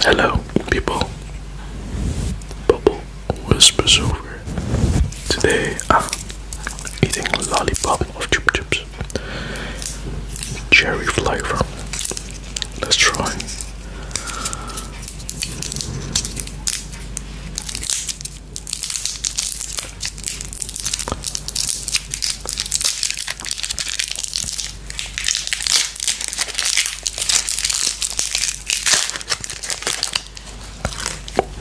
Hello, people. Bubble whispers over. Today I'm eating lollipop of chip chips. Cherry flavor. Let's try.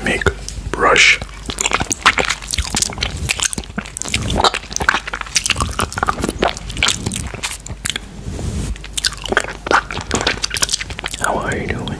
Make brush. How are you doing?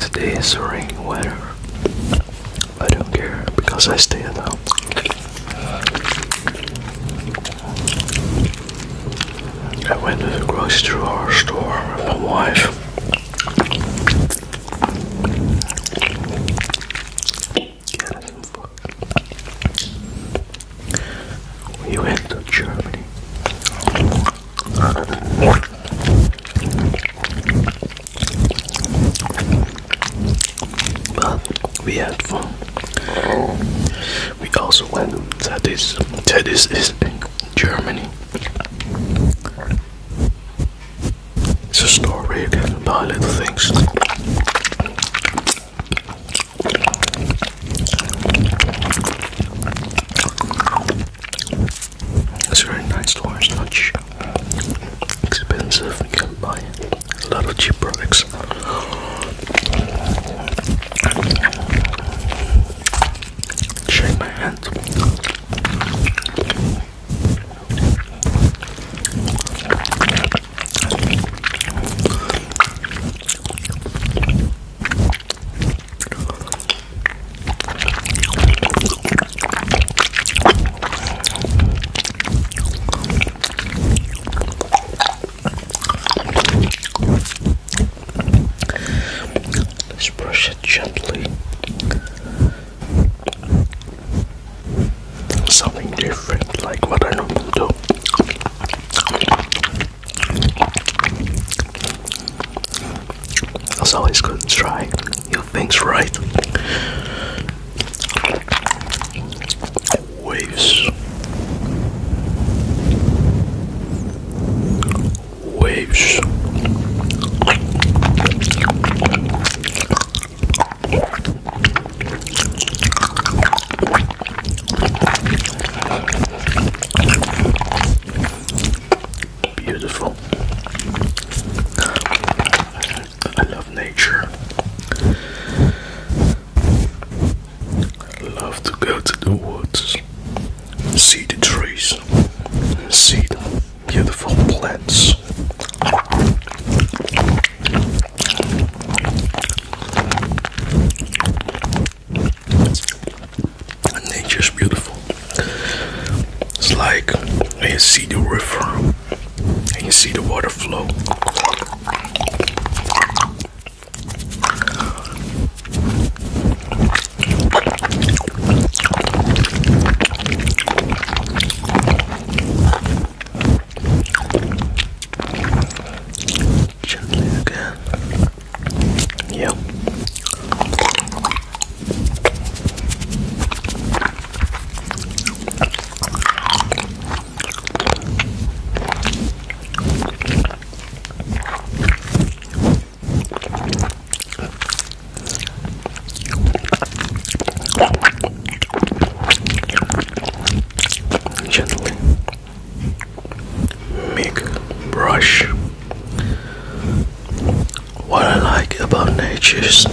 Today is rain weather. I don't care because I stay at home. I went to grocery store with my wife. We went to Germany. But we had fun. We also went to this. To this is Germany. It's a store where you can buy little things. It's a very nice store, it's not expensive, you can buy it a lot of cheap products. Shake my hand. Let's brush it gently. Something different, like what I normally do. It's always good to try new things, right? Waves. Waves. Beautiful. I love nature. I love to go to the woods, see the trees, see the beautiful plants. Nature's beautiful. It's like when you see the river and you see the water flow. Gently Gently make brush. What I like about nature is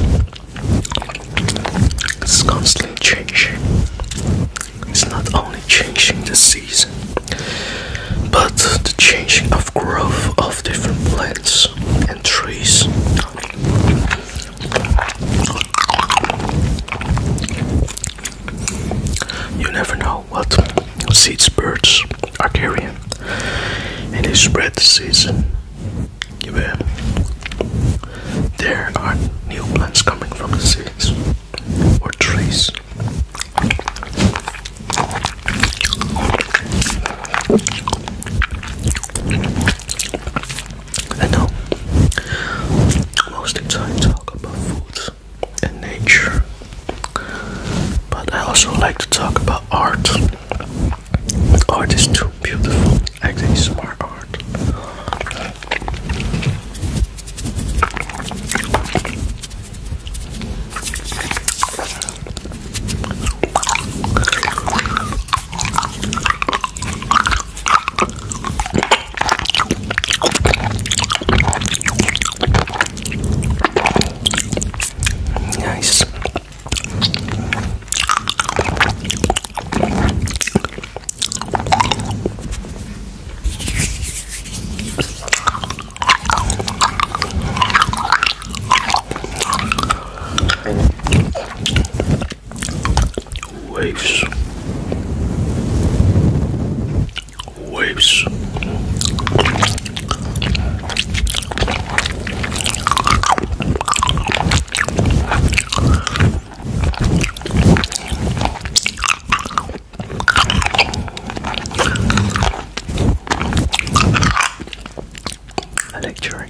it's constantly changing. It's not only changing the season, but the changing of growth of different plants and trees. You never know what seeds birds are carrying, and they spread the season well, there are new plants coming from the seeds or trees. I know most of the time talk about food and nature, but I also like to talk about art. Art is too beautiful Actually, smart art. Nice. Waves, waves, a lecturing.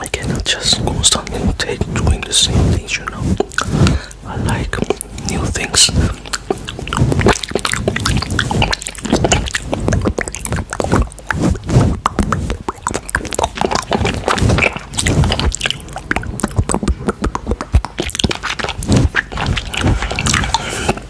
I cannot just constantly take doing the same things, you know. I like new things.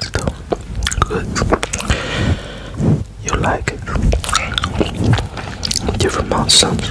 Still good. You like it? Different sounds.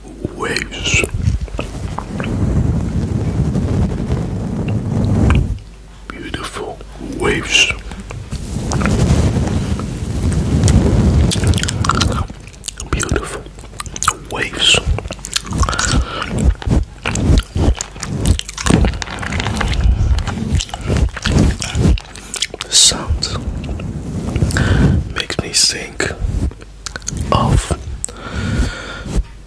waves. Beautiful waves. Beautiful waves. The sound makes me sink of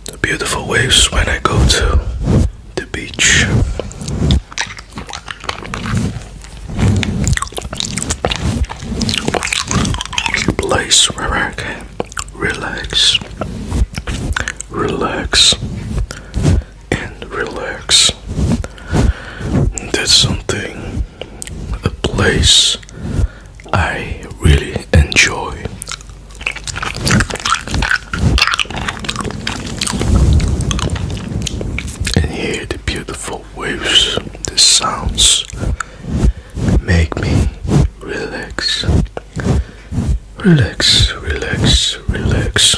the beautiful waves when I go to the beach. A place where I can relax, relax, and relax. That's something, a place I really enjoy. And hear the beautiful waves, the sounds make me relax, relax, relax, relax.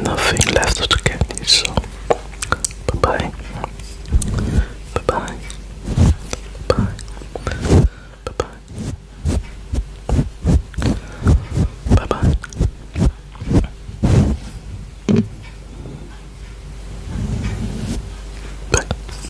Nothing left of the candy, so bye bye. Bye bye. Bye bye. Bye bye. Bye bye. Bye.